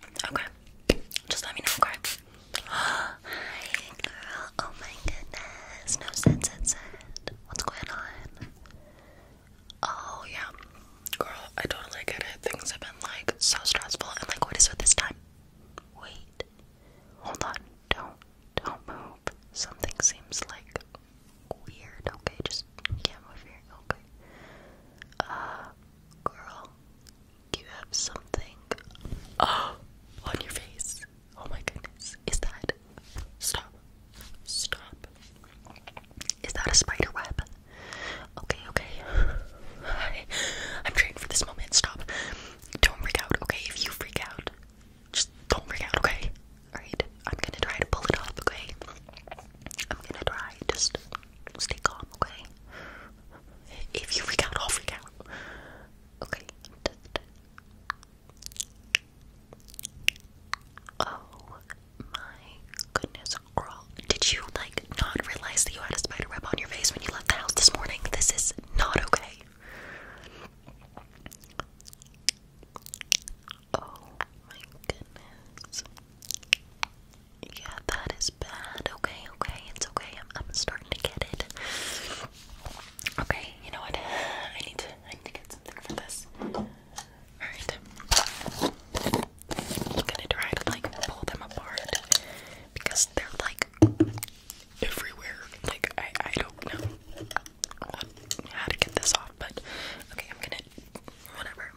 Okay. Just let me know, okay? Hi, girl. Oh my goodness. No sense, sense. What's going on? Oh, yeah. Girl, I totally get it. Things have been like so stressful. And like, what is with this time? Wait. Hold on. Don't, don't move. Something seems like weird. Okay, just can Okay. Uh, girl, you have something oh, on your face. Oh my goodness. Is that. Stop. Stop. Is that a spider web? Okay, okay. I, I'm trained for this moment. Stop. Don't freak out, okay? If you freak out, just don't freak out, okay? Alright, I'm gonna try to pull it off, okay? I'm gonna try. Just stay calm, okay? If you freak out, I'll freak out. Okay. Oh my goodness, girl. Did you like not realize that you had a spider web on your face when you left the house this morning? This is not okay. Oh my goodness. Yeah, that is bad. Okay, okay, it's okay. I'm, I'm starting to get it. Okay, you know what? I need to I need to get something for this. Alright. I'm gonna try to like pull them apart because they're like everywhere. Like I I don't know how to get this off, but okay, I'm gonna whatever,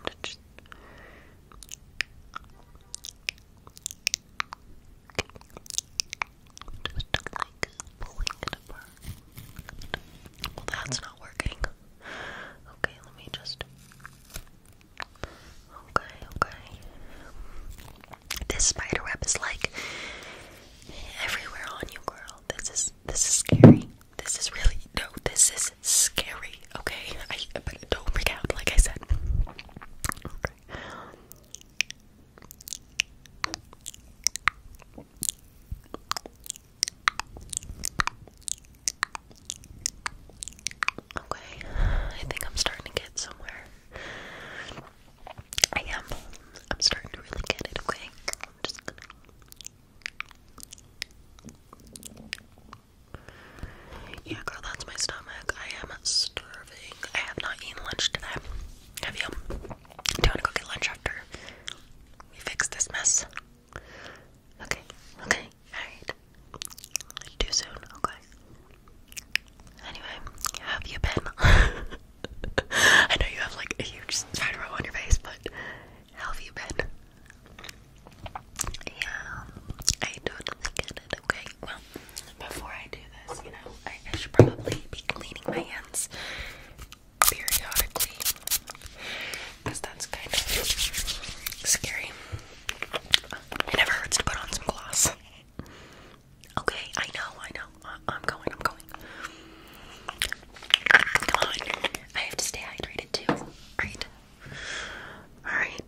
well, that's not working. Okay, let me just. Okay, okay. This spider web is like everywhere on you, girl. This is this is scary. This is really no. This is scary okay, I but don't freak out, like I said. Okay. I think I'm starting to get somewhere. I am. I'm starting to really get it, yeah, girl, that's my stomach. I am starving. I have not eaten lunch today. Have you? Do you want to go get lunch after we fix this mess? Okay, okay, alright. Too soon, okay. Anyway, have you been? I know you have like a huge spider on your face, but have you been? Yeah, I totally get it. Okay, well, before I do this, you know, I, should probably be cleaning my hands periodically because that's kind of scary. It never hurts to put on some gloss. Okay, I know, I know. I'm going, I'm going. Come on, I have to stay hydrated too, right? Alright,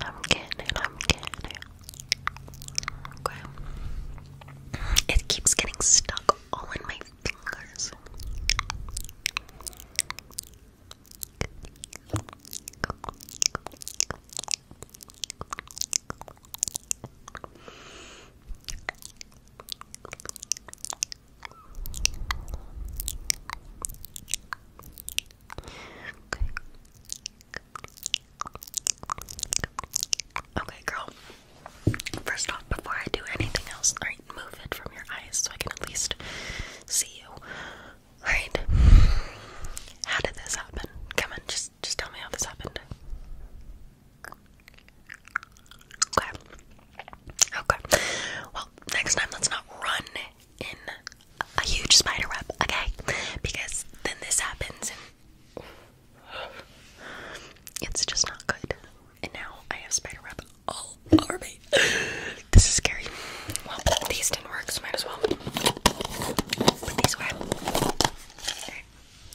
I'm getting it, I'm getting Okay. It keeps getting stuck all in my fingers. Okay. girl. First off, before I do anything else, alright, move it from your eyes so I can at least see you. Right? How did this happen? Come on, just just tell me how this happened. Okay. Okay. Well, next time let's not run in a huge spider web, okay? Because then this happens and it's just not good. And now I have spider web all over me. This is scary. Well, these didn't work, so might as well put these away. Okay.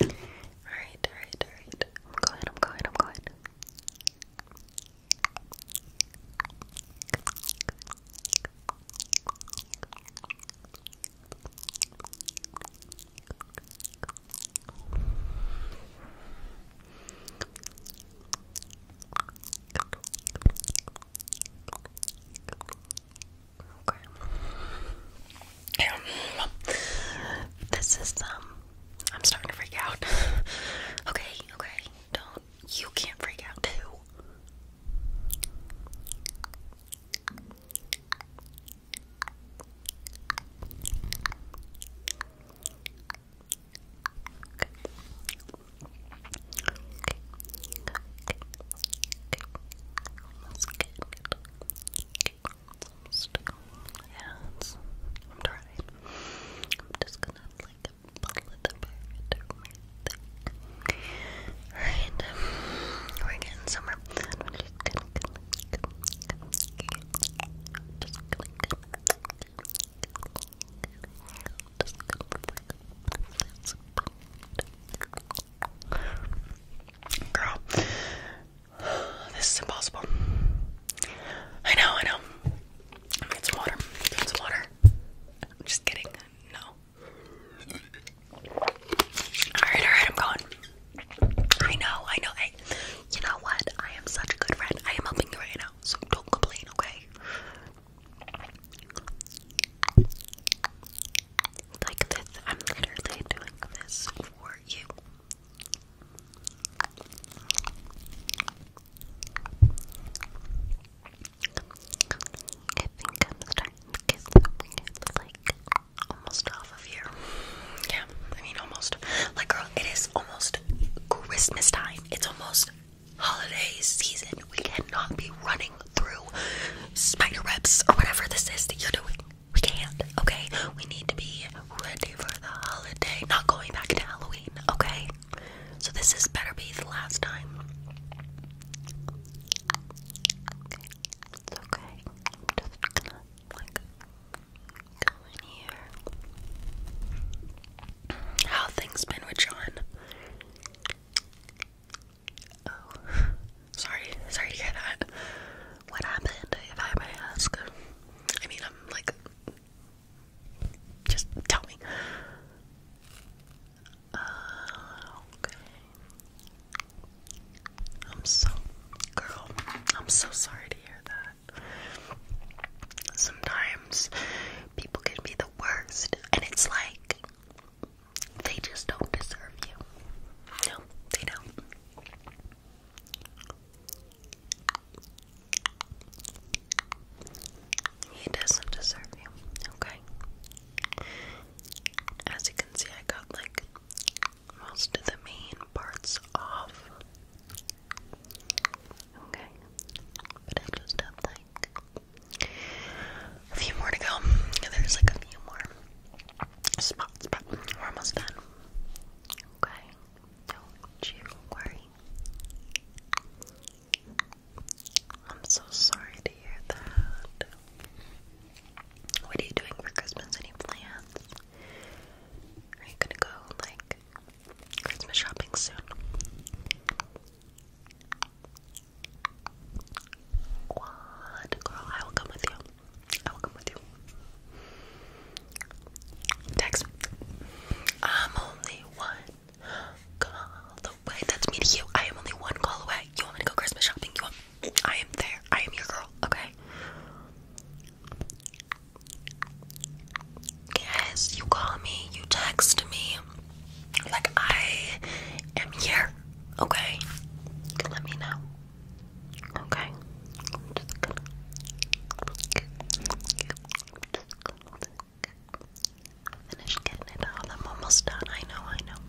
Alright, alright, alright. I'm going, I'm going, I'm going. Okay. This is um I'm starting to freak out. okay, okay. Don't. You can't freak out too. I'm trying. I'm just gonna like pull it up Alright, we're getting somewhere. Girl, this is impossible. I know, I know. Get some water. Get some water. I'm just kidding. No. Alright, alright, I'm going. I know, I know. Hey, you know what? I am such a good friend. I am helping you right now, so don't complain, okay? Like this. I'm literally doing this for you. Yeah, I mean almost. Like girl, it is almost Christmas time. It's almost holiday season. We cannot be running through spider webs or whatever this is that you're doing. We can't, okay? We need to be ready for the holiday. Not going back to Halloween, okay? So this is better be the last time. It's okay. just gonna like in here. How things been with John? Oh, sorry, sorry to hear that. What happened, if I may ask? I mean, I'm like just tell me. Uh, okay. I'm so, girl, I'm so sorry to hear that. Sometimes people can be the worst, and it's like they just don't deserve you. No, they don't. He doesn't deserve you, okay? As you can see, I got like most of the main parts off. Okay. But I just have like a few more to go. There's like a few more spots, but we're almost done. Okay. Don't you worry. I'm so sorry to hear that. What are you doing for Christmas? Any plans? Are you gonna go like Christmas shopping soon? What girl? I will come with you. I will come with you. Text. I'm only one call away. That's me to you. I am only one call away. You want me to go Christmas shopping? You want? I am there. I am your girl. Okay. Yes, you call me. You text me. Like I am here. Okay. Let me know. Okay. Finish getting it all. I'm almost done. I know, I know.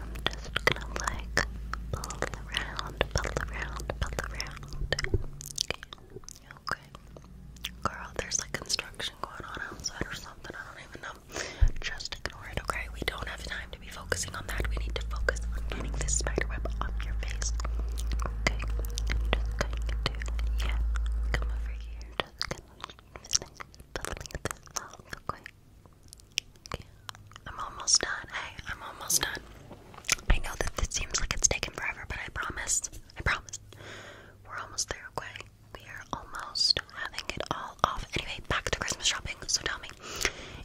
I'm just gonna like pull around, pull around, pull around. Okay. Okay. Girl, there's like construction going on outside or something. I don't even know. Just ignore it, okay? We don't have time to be focusing on that. We need to focus on getting this spider web off your face. Okay just going to, yeah, come over here, just gonna finish this off, Okay, I'm almost done, hey, I'm almost done. I know that this seems like it's taken forever, but I promise, I promise, we're almost there, okay? We are almost having it all off. Anyway, back to Christmas shopping, so tell me,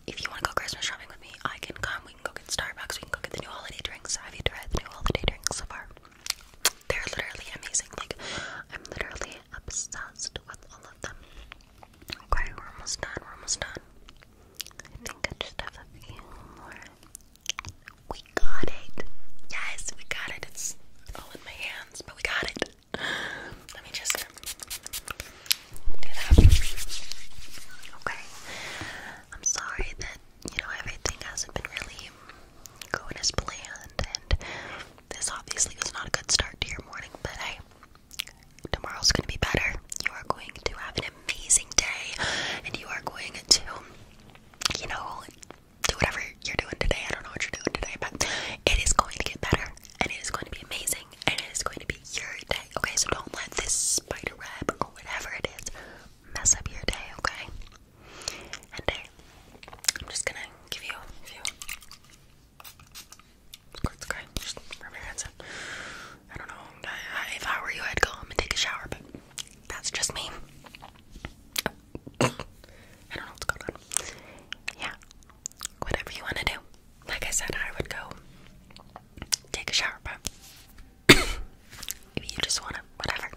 if you want to go Christmas shopping with me, I can come we can go get Starbucks, we can go get the new holiday drinks. i Have you tried the new holiday drinks so far? They're literally amazing. Like, I'm literally obsessed with all of them. Okay, we're almost done, we're almost done. I think I just have a few more. We got it. Yes, we got it. It's all in my hands, but we got it. Let me just do that. Okay. I'm sorry that you know, everything hasn't been really going as planned, and this obviously was not a good start to your morning, but I, tomorrow's gonna be better. You are going to have an amazing day, and you are going to, you know, do whatever you're doing today. I don't know what you're doing today, but it is going to get better, and it is going to be amazing, and it is going to be your day. Okay, so don't let this spider web or whatever it is mess up your day, okay? And uh, I'm just gonna give you a few. okay. Just rub your hands in. I don't know. if I were you, I'd go and take a shower, but that's just me. I don't know what's going on. Yeah. Whatever you want to do. Like I said, I would go take a shower, but if you just want to, whatever.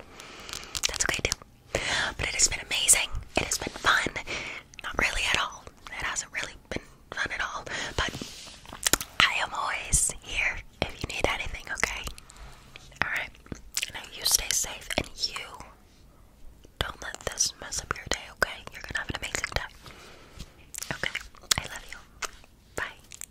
That's okay too. But it has been amazing. It has been fun. Not really at all. It hasn't really been fun at all. But I am always here if you need anything, okay? Alright. Now you stay safe and you don't let this mess up your day, okay? You're gonna have an amazing day. Okay. I love you. Bye.